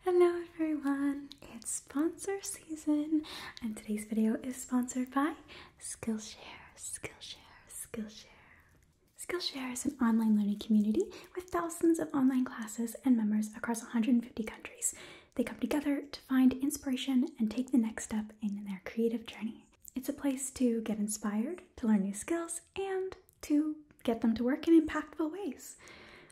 Hello everyone, it's sponsor season and today's video is sponsored by Skillshare, Skillshare, Skillshare. Skillshare is an online learning community with thousands of online classes and members across 150 countries. They come together to find inspiration and take the next step in their creative journey. It's a place to get inspired, to learn new skills, and to get them to work in impactful ways.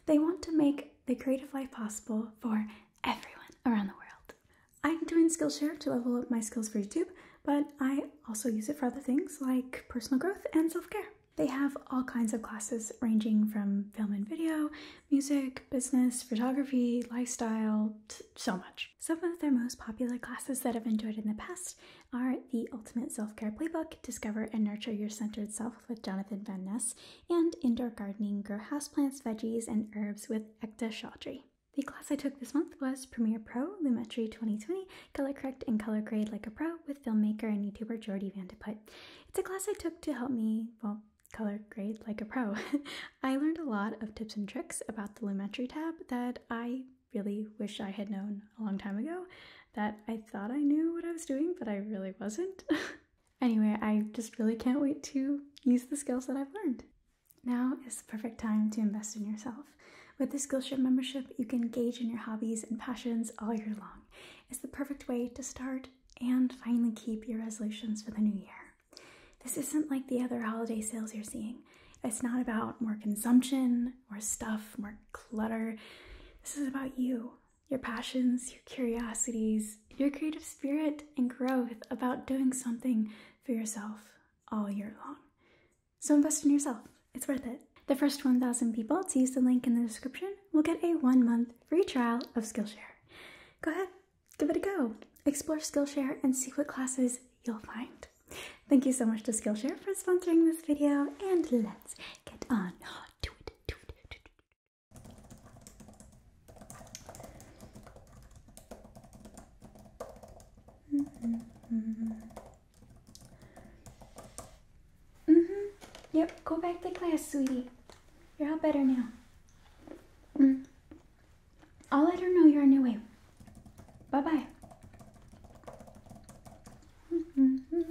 They want to make the creative life possible for everyone around the world. I'm doing Skillshare to level up my skills for YouTube, but I also use it for other things like personal growth and self care. They have all kinds of classes ranging from film and video, music, business, photography, lifestyle, so much. Some of their most popular classes that I've enjoyed in the past are the Ultimate Self Care Playbook, Discover and Nurture Your Centered Self with Jonathan Van Ness, and indoor gardening, grow houseplants, veggies, and herbs with Ekta Chaudhry. The class I took this month was Premiere Pro Lumetri 2020 Color Correct and Color Grade Like a Pro with filmmaker and YouTuber Jordi Vandeput. It's a class I took to help me, well, color grade like a pro. I learned a lot of tips and tricks about the Lumetri tab that I really wish I had known a long time ago that I thought I knew what I was doing, but I really wasn't. anyway, I just really can't wait to use the skills that I've learned. Now is the perfect time to invest in yourself. With the Skillshare membership, you can engage in your hobbies and passions all year long. It's the perfect way to start and finally keep your resolutions for the new year. This isn't like the other holiday sales you're seeing. It's not about more consumption, more stuff, more clutter. This is about you your passions, your curiosities, your creative spirit and growth about doing something for yourself all year long. So invest in yourself, it's worth it. The first 1,000 people to use the link in the description will get a one month free trial of Skillshare. Go ahead, give it a go. Explore Skillshare and see what classes you'll find. Thank you so much to Skillshare for sponsoring this video, and let's get on -hmm. Yep. Go back to class, sweetie. You're all better now. Mm. I'll let her know you're on your way. Bye bye. Mm-hmm.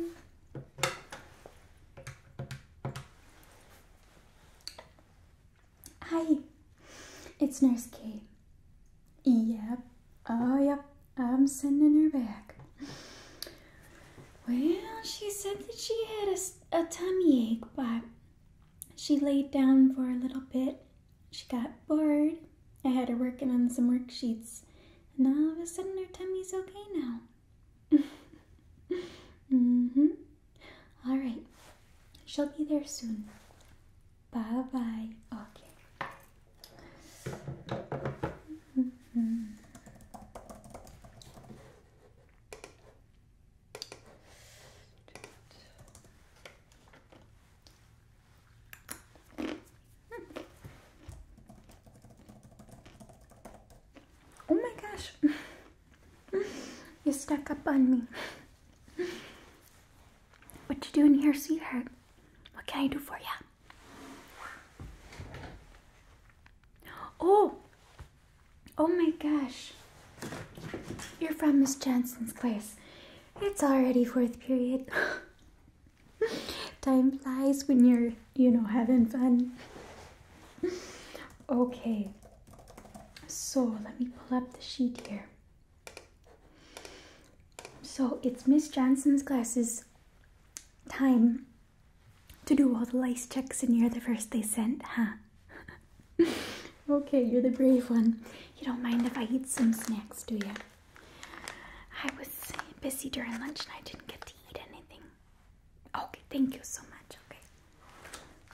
Hi, it's Nurse Kate. Yep, oh yep, I'm sending her back. Well, she said that she had a, a tummy ache, but she laid down for a little bit. She got bored. I had her working on some worksheets, and all of a sudden her tummy's okay now. mm-hmm. All right. She'll be there soon. Bye bye. Okay. Mm-hmm. Oh my gosh. you stuck up on me. What you doing here, sweetheart? What can I do for you? Oh! Oh my gosh. You're from Miss Johnson's class. It's already fourth period. Time flies when you're, you know, having fun. Okay, so let me pull up the sheet here. So it's Miss Johnson's classes time to do all the lice checks, and you're the first they sent, huh? okay, you're the brave one. You don't mind if I eat some snacks, do you? I was busy during lunch and I didn't get to anything? Okay, thank you so much.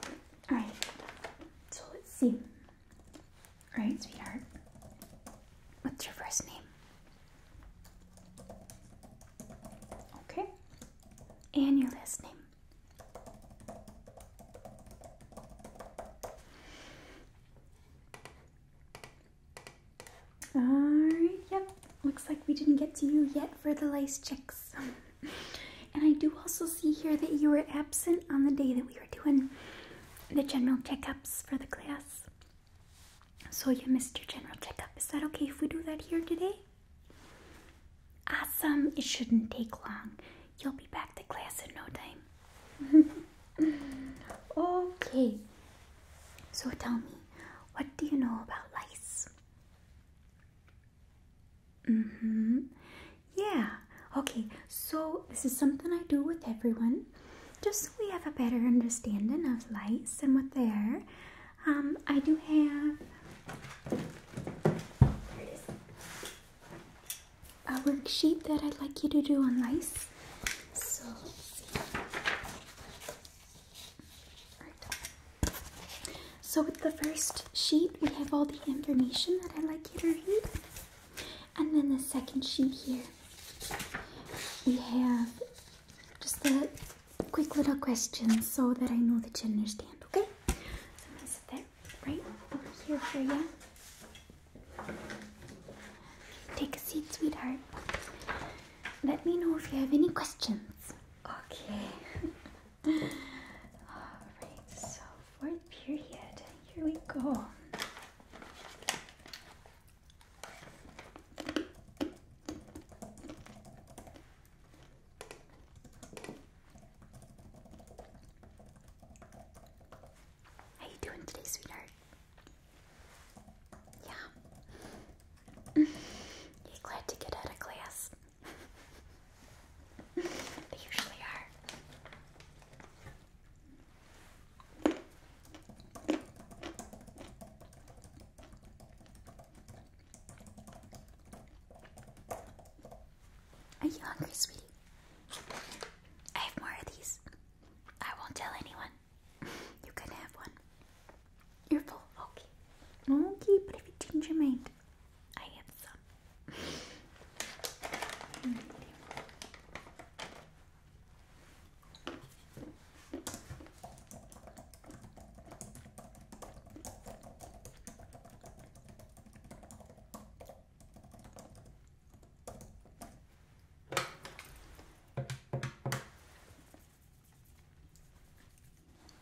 Okay. Alright, so let's see. Alright, sweetheart. What's your first name? Okay. And your last name? Alright, yep. Looks like we didn't get to you yet for the lice checks. and I do also see here that you were absent on the day that we were doing the general checkups for the class. So you missed your general checkup. Is that okay if we do that here today? Awesome. It shouldn't take long. You'll be back to class in no time. okay. So tell me, what do you know about lice? Mm hmm. Yeah. Okay, so this is something I do with everyone. Just so we have a better understanding of lice and what they are, um, I do have a worksheet that I'd like you to do on lice. So so with the first sheet, we have all the information that I'd like you to read. And then the second sheet here, we have just the quick little questions so that I know that you understand, okay? So I'm going to sit there right over here for you. Take a seat, sweetheart. Let me know if you have any questions. Okay. Alright, so fourth period. Here we go. How you doing today, sweetheart? Yeah. You're glad to get out of class. they usually are. Are you hungry, sweetie? I have more of these. I won't tell anyone. You can have one. You're full. Okay. Okay, but if you change your mind, I have some.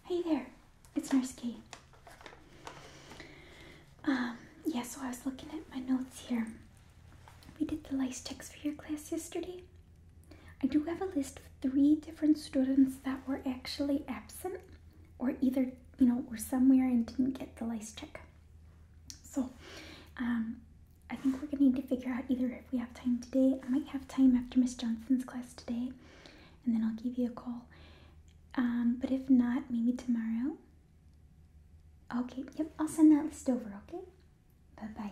Hey there, it's Nurse Kay. Um, yeah, so I was looking at my notes here. We did the lice checks for your class yesterday. I do have a list of three different students that were actually absent or either, you know, were somewhere and didn't get the lice check. So, um, I think we're gonna need to figure out either if we have time today. I might have time after Miss Johnson's class today, and then I'll give you a call. Um, but if not, maybe tomorrow. Okay, yep, I'll send that list over, okay? Bye bye.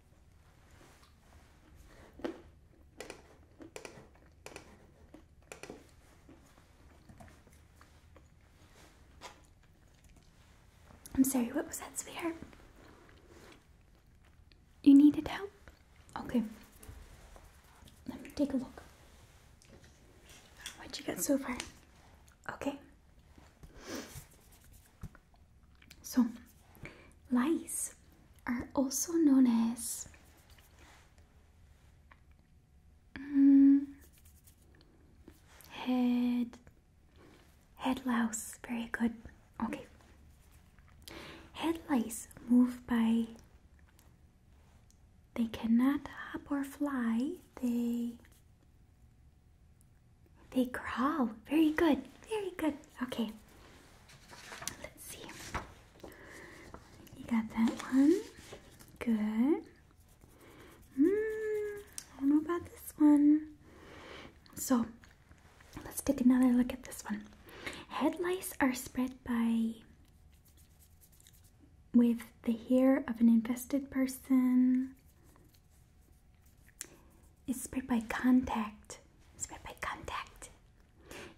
I'm sorry, what was that, sweetheart? You needed help? Okay. Let me take a look. What would you get so far? Okay. So, lice are also known as mm, head head louse. Very good. Okay. Head lice move by. They cannot hop or fly. They they crawl. Very good. Very good. Okay. Let's see. You got that one. Good. Hmm, I don't know about this one. So, let's take another look at this one. Head lice are spread by with the hair of an infested person, it's spread by contact. spread by contact.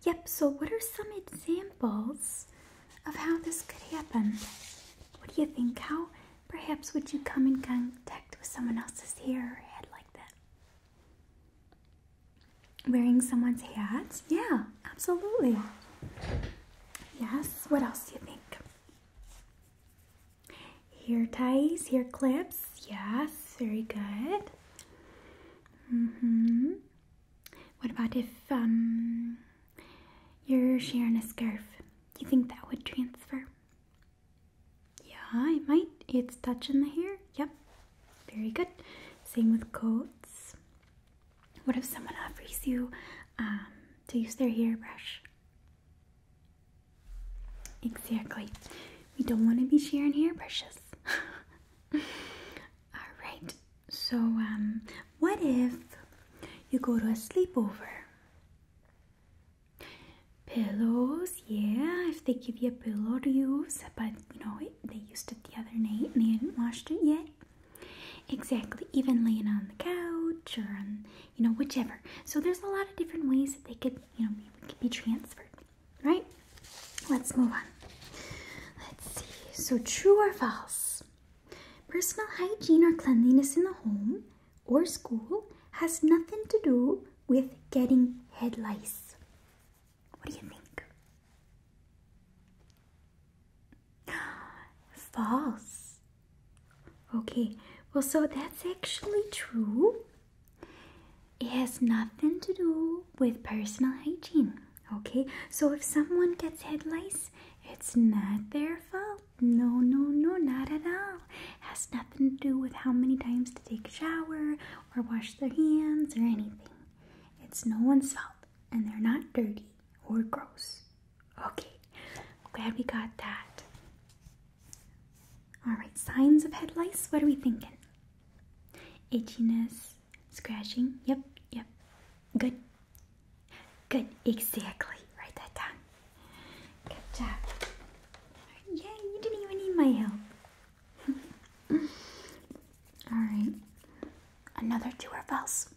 Yep, so what are some examples of how this could happen? What do you think? How perhaps would you come in contact with someone else's hair or head like that? Wearing someone's hat? Yeah, absolutely. Yes, what else do you think? Hair ties, hair clips. Yes, very good hmm What about if um, you're sharing a scarf? Do you think that would transfer? Yeah, it might. It's touching the hair. Yep. Very good. Same with coats. What if someone offers you um, to use their hairbrush? Exactly. We don't want to be sharing hairbrushes. All right. So, um, what if you go to a sleepover? Pillows, yeah. If they give you a pillow to use, but you know they used it the other night and they hadn't washed it yet. Exactly. Even laying on the couch or you know, whichever. So there's a lot of different ways that they could, you know, be transferred. Right? Let's move on. Let's see. So, true or false? Personal hygiene or cleanliness in the home or school has nothing to do with getting head lice. What do you think? False. Okay, well, so that's actually true. It has nothing to do with personal hygiene. Okay, so if someone gets head lice, it's not their fault. No, no, no, not at all. It has nothing to do with how many times to take a shower or wash their hands or anything. It's no one's fault, and they're not dirty or gross. Okay, glad we got that. All right, signs of head lice. What are we thinking? Itchiness, scratching. Yep, yep. Good. Good. Exactly. Write that down. Good job. Yeah, you didn't even need my help. All right. Another two or false.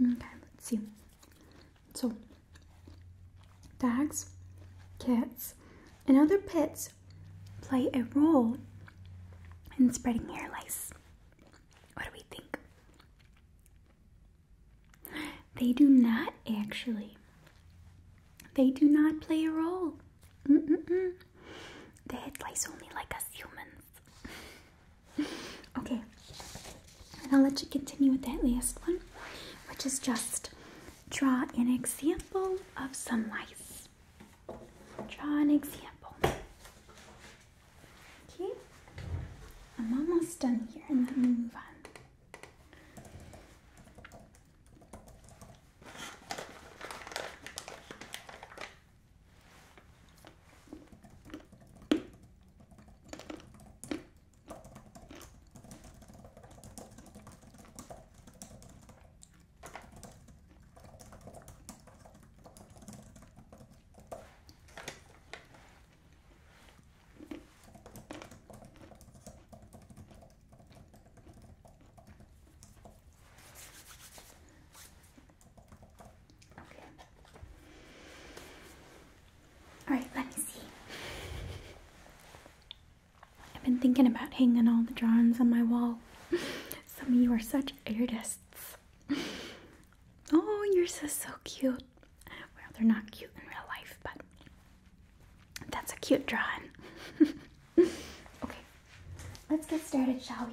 Okay, let's see. So, Dogs, cats, and other pets play a role in spreading ear lice. What do we think? They do not actually. They do not play a role. Ear lice only like us humans. okay, and I'll let you continue with that last one, which is just Draw an example of some lice. Draw an example. Okay, I'm almost done here and then we move on. All right, let me see. I've been thinking about hanging all the drawings on my wall. Some of you are such artists. Oh, yours is so cute. Well, they're not cute in real life, but that's a cute drawing. okay, let's get started, shall we?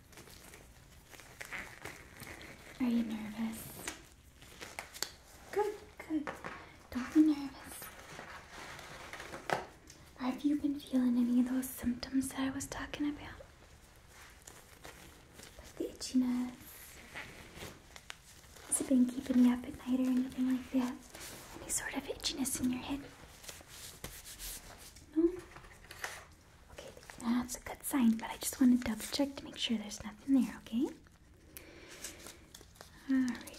Are you nervous? Good, good. Don't be nervous. Have you been feeling any of those symptoms that I was talking about? Like the itchiness? Has it been keeping you up at night or anything like that? Any sort of itchiness in your head? No? Okay, that's a good sign, but I just want to double check to make sure there's nothing there, okay? Alrighty.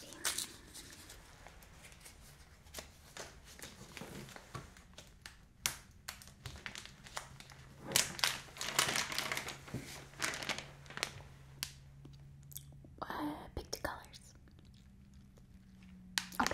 Uh, pick the colors. Okay.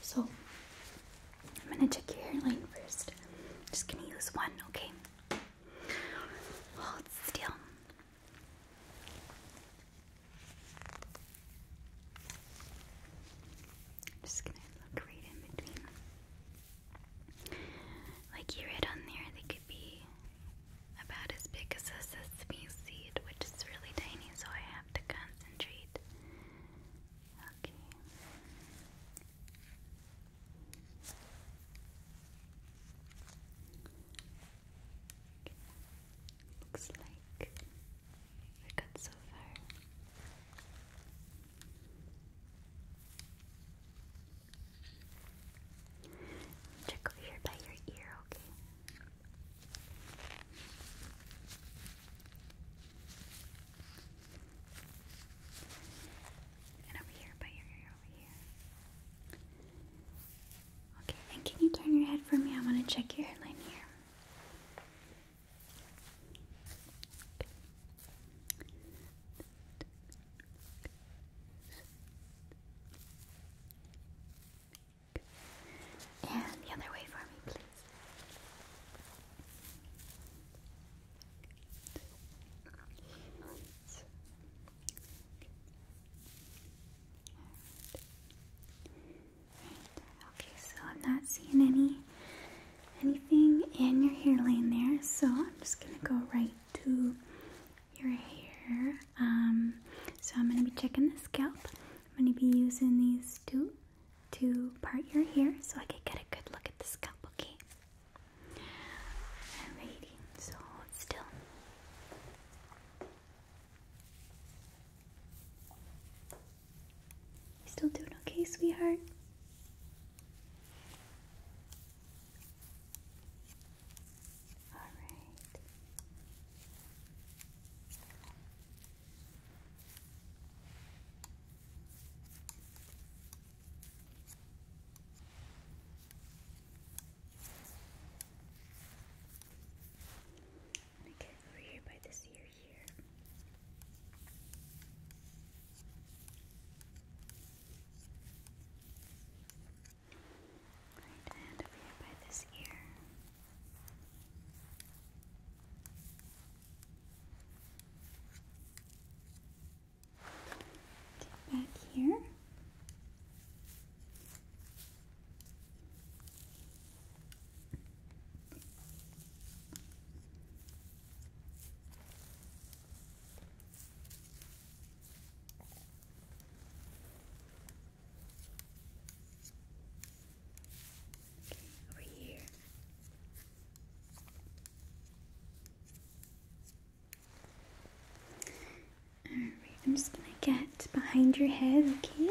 So I'm gonna check your hairline 1st just gonna use one, okay? Hold still. Just gonna look right in between. Like you read on there, they could be about as big as a sesame seed, which is really tiny, so I have to concentrate. Okay. Looks like we're so far. Check over here by your ear, okay? And over here by your ear, over here. Okay, and can you turn your head for me? I want to check your hairline here. And the other way for me, please. Okay, so I'm not seeing any anything in your hairline there, so I'm just gonna go right to your hair. Um, so I'm gonna be checking the scalp. I'm gonna be using these two to part your hair so I can get a good look at the scalp, okay? Alrighty, so still. Still doing okay, sweetheart? All get over here by this ear here. Right hand over by this ear. Get back here over here. Alright, I'm just gonna get behind your head, okay?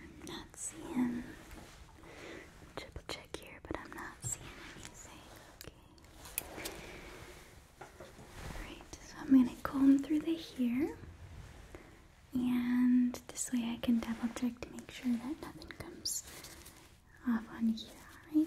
I'm not seeing. Triple check here, but I'm not seeing anything. Okay. Alright, so I'm going to comb through the hair. And this way I can double check to make sure that nothing comes off on here. Right.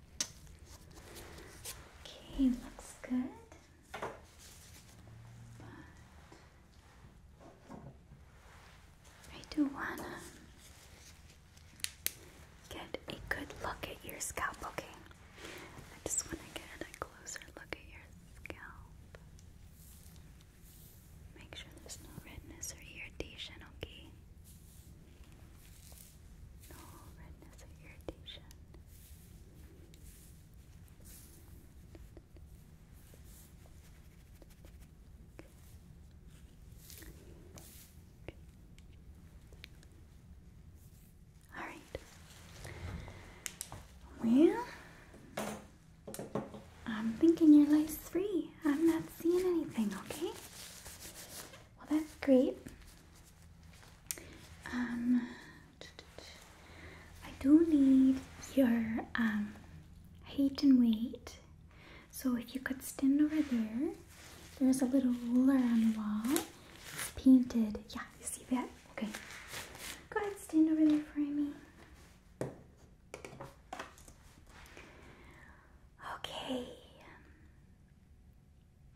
Okay, looks good. I do want to get a good look at your scalp, okay? I just want to get a closer look at your scalp. Make sure there's no redness or irritation, okay? No redness or irritation. All right. Well, I'm thinking your life's free. I'm not seeing anything, okay? Well, that's great. Um, I do need your um, height and weight. So if you could stand over there, there's a little ruler on the wall. painted. Yeah, you see that? Okay. Go ahead, stand over there for me. Okay.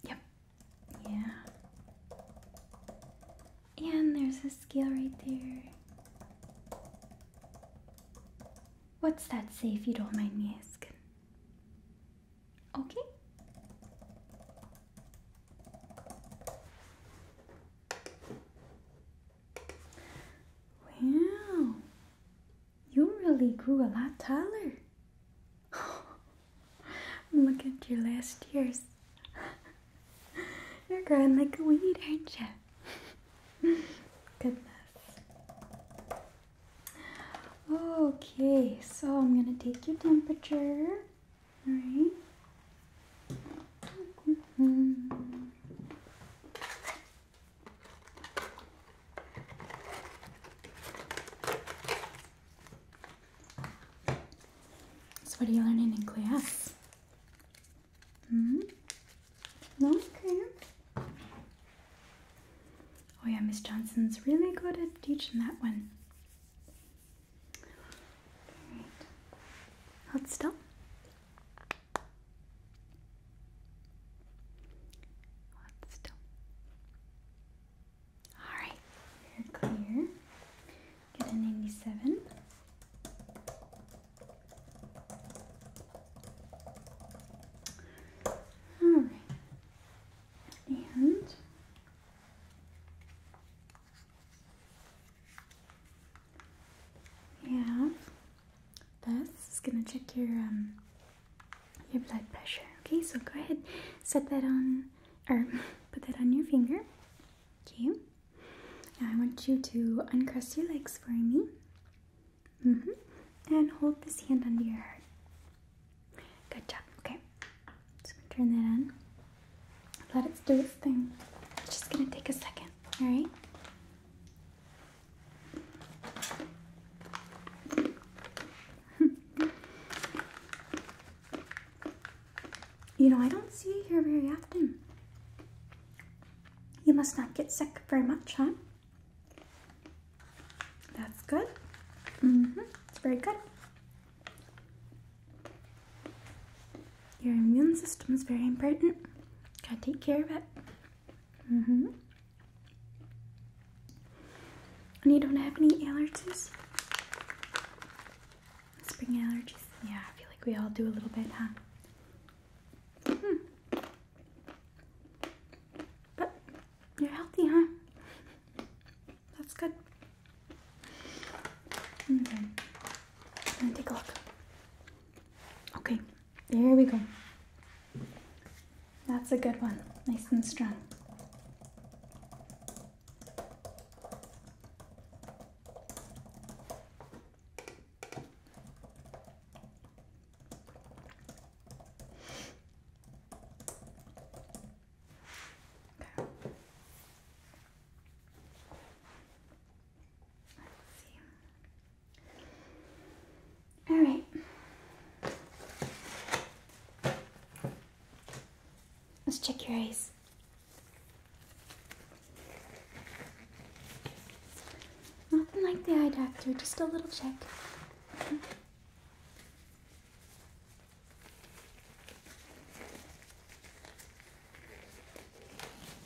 Yep. Yeah. And there's a scale right there. What's that say if you don't mind me asking? Okay. Wow you really grew a lot taller. Look at your last years. You're growing like a weed, aren't you? Goodness. Okay, so I'm gonna take your temperature. Alright. Mm-hmm what are you learning in class? Hmm? okay. Oh, yeah, Miss Johnson's really good at teaching that one. Right. Hold stop. Alright, you clear. Get a 97. Alright. And we this is gonna check your um your blood pressure. Okay, so go ahead, set that on or put that on your finger. Okay. Now I want you to uncross your legs for me. hmm And hold this hand under your heart. Good job. Okay. Just gonna turn that on. Let it do its thing. It's just gonna take a second. All right you know, I don't see you here very often. You must not get sick very much, huh? That's good. Mm-hmm. It's very good. Your immune system is very important. Gotta take care of it. Mm hmm And you don't have any allergies? Spring allergies? Yeah, I feel like we all do a little bit, huh? Hmm. But you're healthy, huh? That's good. Okay. I'm mm-hmm. take a look. Okay, there we go. That's a good one, nice and strong. Let's see. All right. Let's check your eyes. Nothing like the eye doctor, just a little check.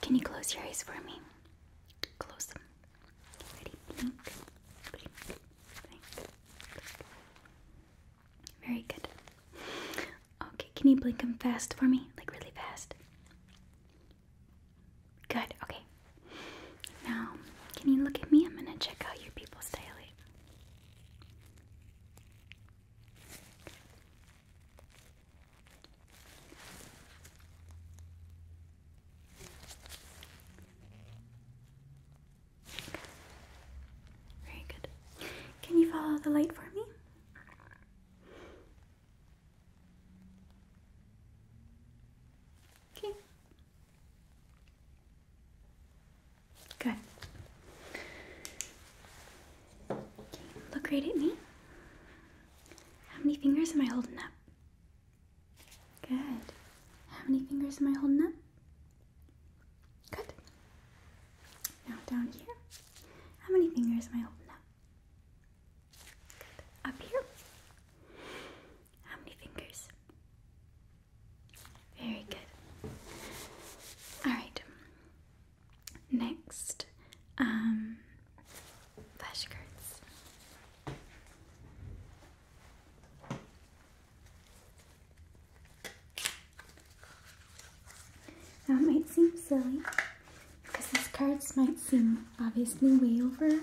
Can you, close your eyes for me? Close them. Ready? Blink, blink, blink, Very good. Okay, can you blink them fast for me? Like really fast. Good, okay. Now, can you look at me? I'm gonna check out your people's dilate. Very good. Can you follow the light for me? Okay. Good. Look right at me. How many fingers am I holding up? Good. How many fingers am I holding up? Good. Now down here. How many fingers am I holding up? Up here. How many fingers? Very good. Alright. Next, um, flashcards. That might seem silly because these cards might seem obviously way over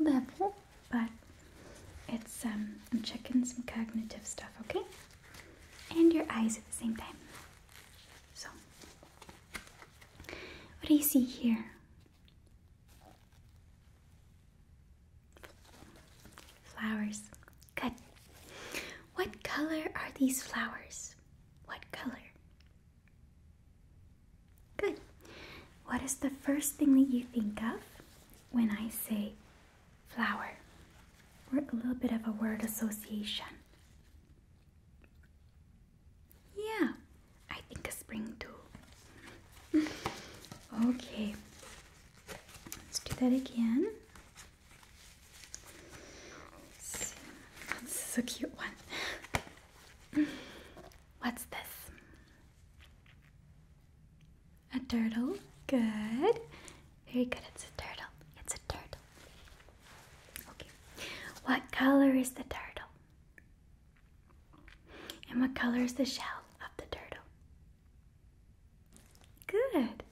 level, but it's um I'm checking some cognitive stuff, okay? and your eyes at the same time. So, what do you see here? Flowers. Good. What color are these flowers? What color? Good. What is the first thing that you think of when I say flower. or a little bit of a word association. Yeah, I think a spring too. okay, let's do that again. This is a cute one. What's this? A turtle. Good. Very good. It's a turtle. It's a turtle. Okay. What color is the turtle? And what color is the shell of the turtle? Good.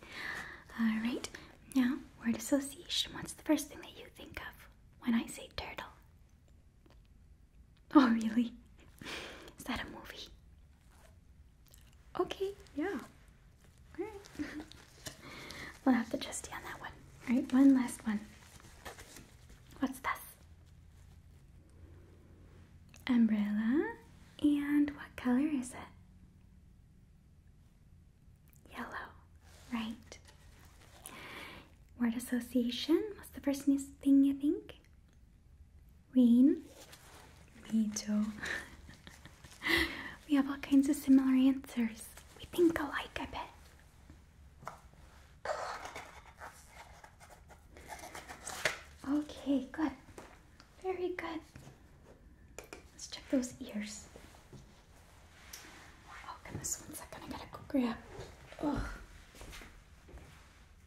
All right. Now, word association. What's the first thing that you think of when I say turtle? Oh, really? Is that a movie? Okay, yeah. Alright. we'll have to just on that one. Alright, one last one. What's this? Umbrella. And what color is it? Yellow. Right. Word association. What's the first thing you think? Rain. Me too. we have all kinds of similar answers. We think alike, I bet. Okay, good. Very good. Let's check those ears. Oh god! This one's not going to go grab. Ugh.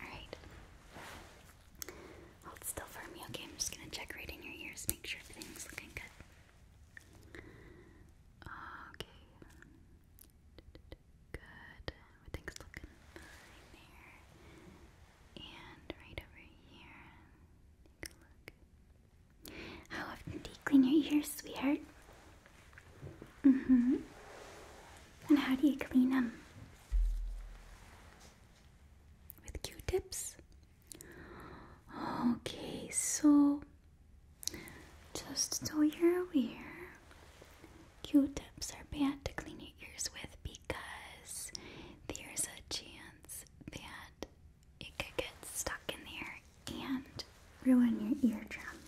Alright. Hold still for me, okay? I'm just gonna check right in your ears, make sure everything's looking good. Okay. Good. Everything's looking fine there. And right over here. Take a look. How often do you clean your ears, sweetheart? Mm hmm. And how do you clean them? With q tips? Okay, so just so you're aware, q tips are bad to clean your ears with because there's a chance that it could get stuck in there and ruin your eardrum,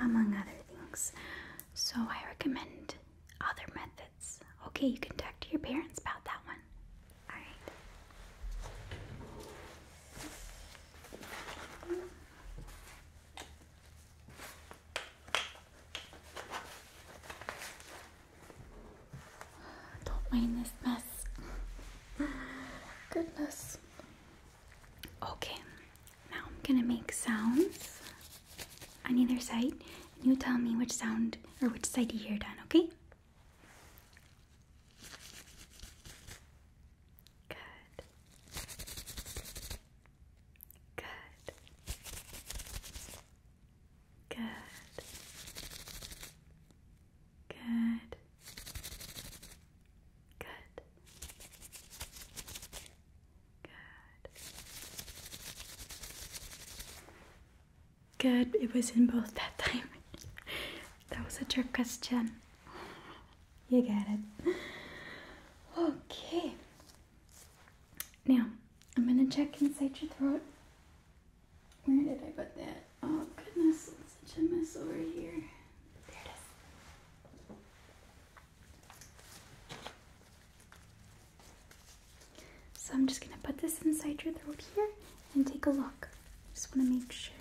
among other things. So I recommend other methods. Okay, you can talk to your parents about that one. Alright. Don't mind this mess. Goodness. Okay, now I'm gonna make sounds on either side. And you tell me which sound or which side you hear it okay? Good. Good. Good. Good. Good. Good. Good. It was in both that time. that was a trick question. You get it. Okay. Now, I'm going to check inside your throat. Where did I put that? Oh goodness, it's such a mess over here. So I'm just gonna put this inside your throat here and take a look. Just wanna make sure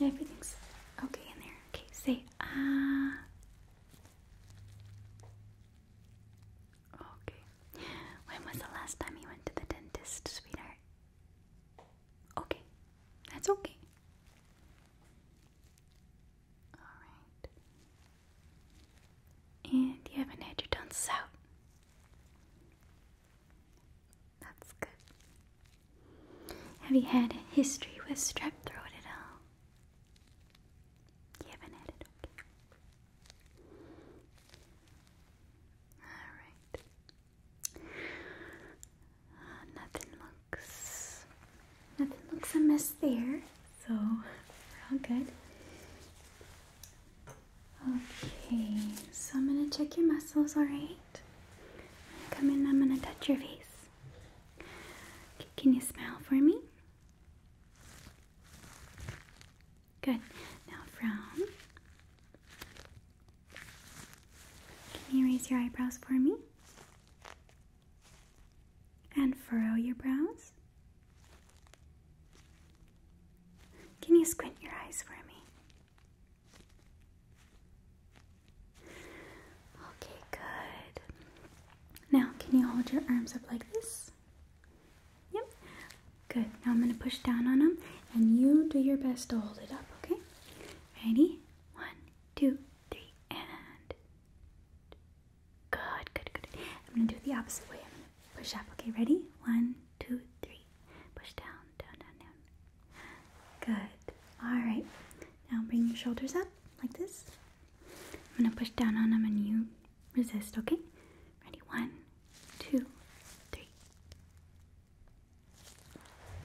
everything's okay in there. Okay, say ah. Okay. When was the last time you went to the dentist, sweetheart? Okay. That's okay. Alright. And you haven't had your tonsils out. That's good. Have you had a history with strep throat at all? You it, Alright. Uh, nothing looks nothing looks amiss there, so we're all good. Okay, so I'm gonna check your muscles, alright? Come in, I'm gonna touch your face. Can you smile for me? Good. Now frown. Can you raise your eyebrows for me? And furrow your brows? Can you squint your eyes for me? Okay, good. Now, can you hold your arms up like this? Yep. Good. Now I'm going to push down on them and you do your best to hold it up, okay? Ready? One, two, three, and. Good, good, good. I'm going to do it the opposite way. I'm going to push up, okay? Ready? One, two, three. Push down, down, down, down. Good. All right. Now bring your shoulders up like this. I'm going to push down on them and you resist, okay? Ready? One, two, three.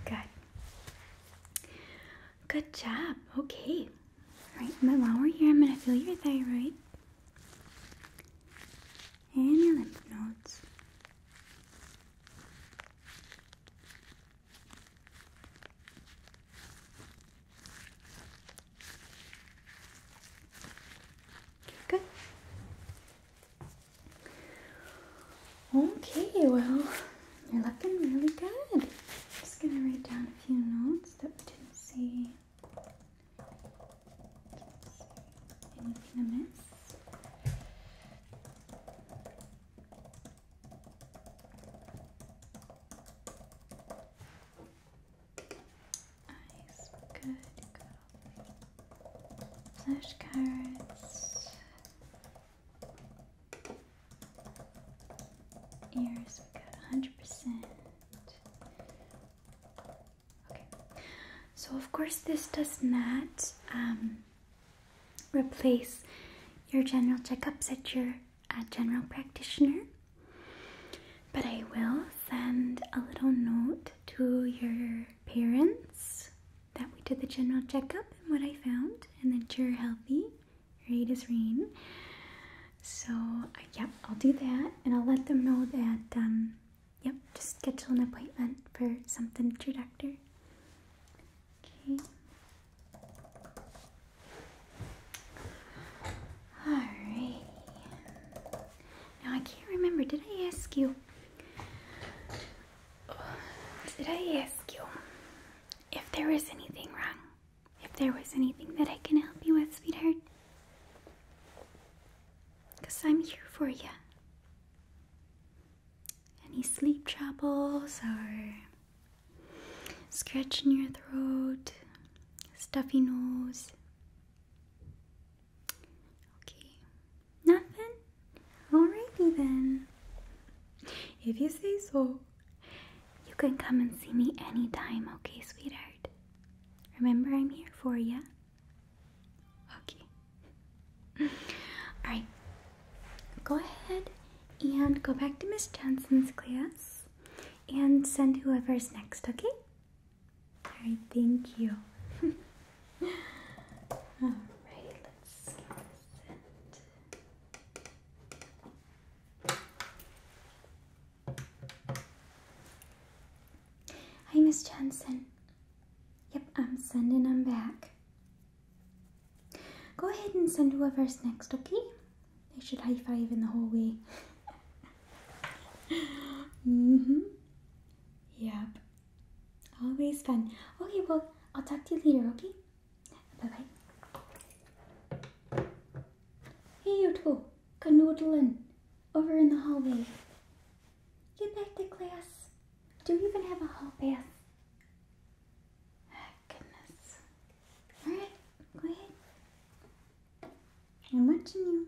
Good. Good job. Okay. All right, but while we're here, I'm going to feel your thyroid and your lymph nodes. Good. Okay, well, you're looking really good. just gonna write down a few notes that we didn't see. Anything amiss? Nice, good girl. Flashcards. Ears, we hundred percent. Okay, so of course this does not um, replace your general checkups at your uh, general practitioner. But I will send a little note to your parents that we did the general checkup and what I found, and that you're healthy, your aid is rain. So, uh, yep, I'll do that, and I'll let them know that, um, yep, just schedule an appointment for something to your doctor. Okay. Alrighty. Now I can't remember. Did I ask you? Did I ask you if there was anything wrong? If there was anything that I can help you with, sweetheart? Because I'm here for you. Any sleep troubles or scratch in your throat, stuffy nose, Okay, nothing? Alrighty then. If you say so, you can come and see me anytime, okay, sweetheart? Remember, I'm here for ya. Okay. Alright, go ahead and go back to Miss Johnson's class and send whoever's next, okay? Alright, thank you. Alright, let's send. Hi, Miss Johnson. Yep, I'm sending them back. Go ahead and send whoever's next, okay? They should high five in the hallway. mm hmm. Yep. Always fun. Okay, well, I'll talk to you later, okay? Bye bye. Hey, you two. Canoodling. Over in the hallway. Get back to class. Do you even have a hall pass? Ah, goodness. Alright, go ahead. I'm watching you.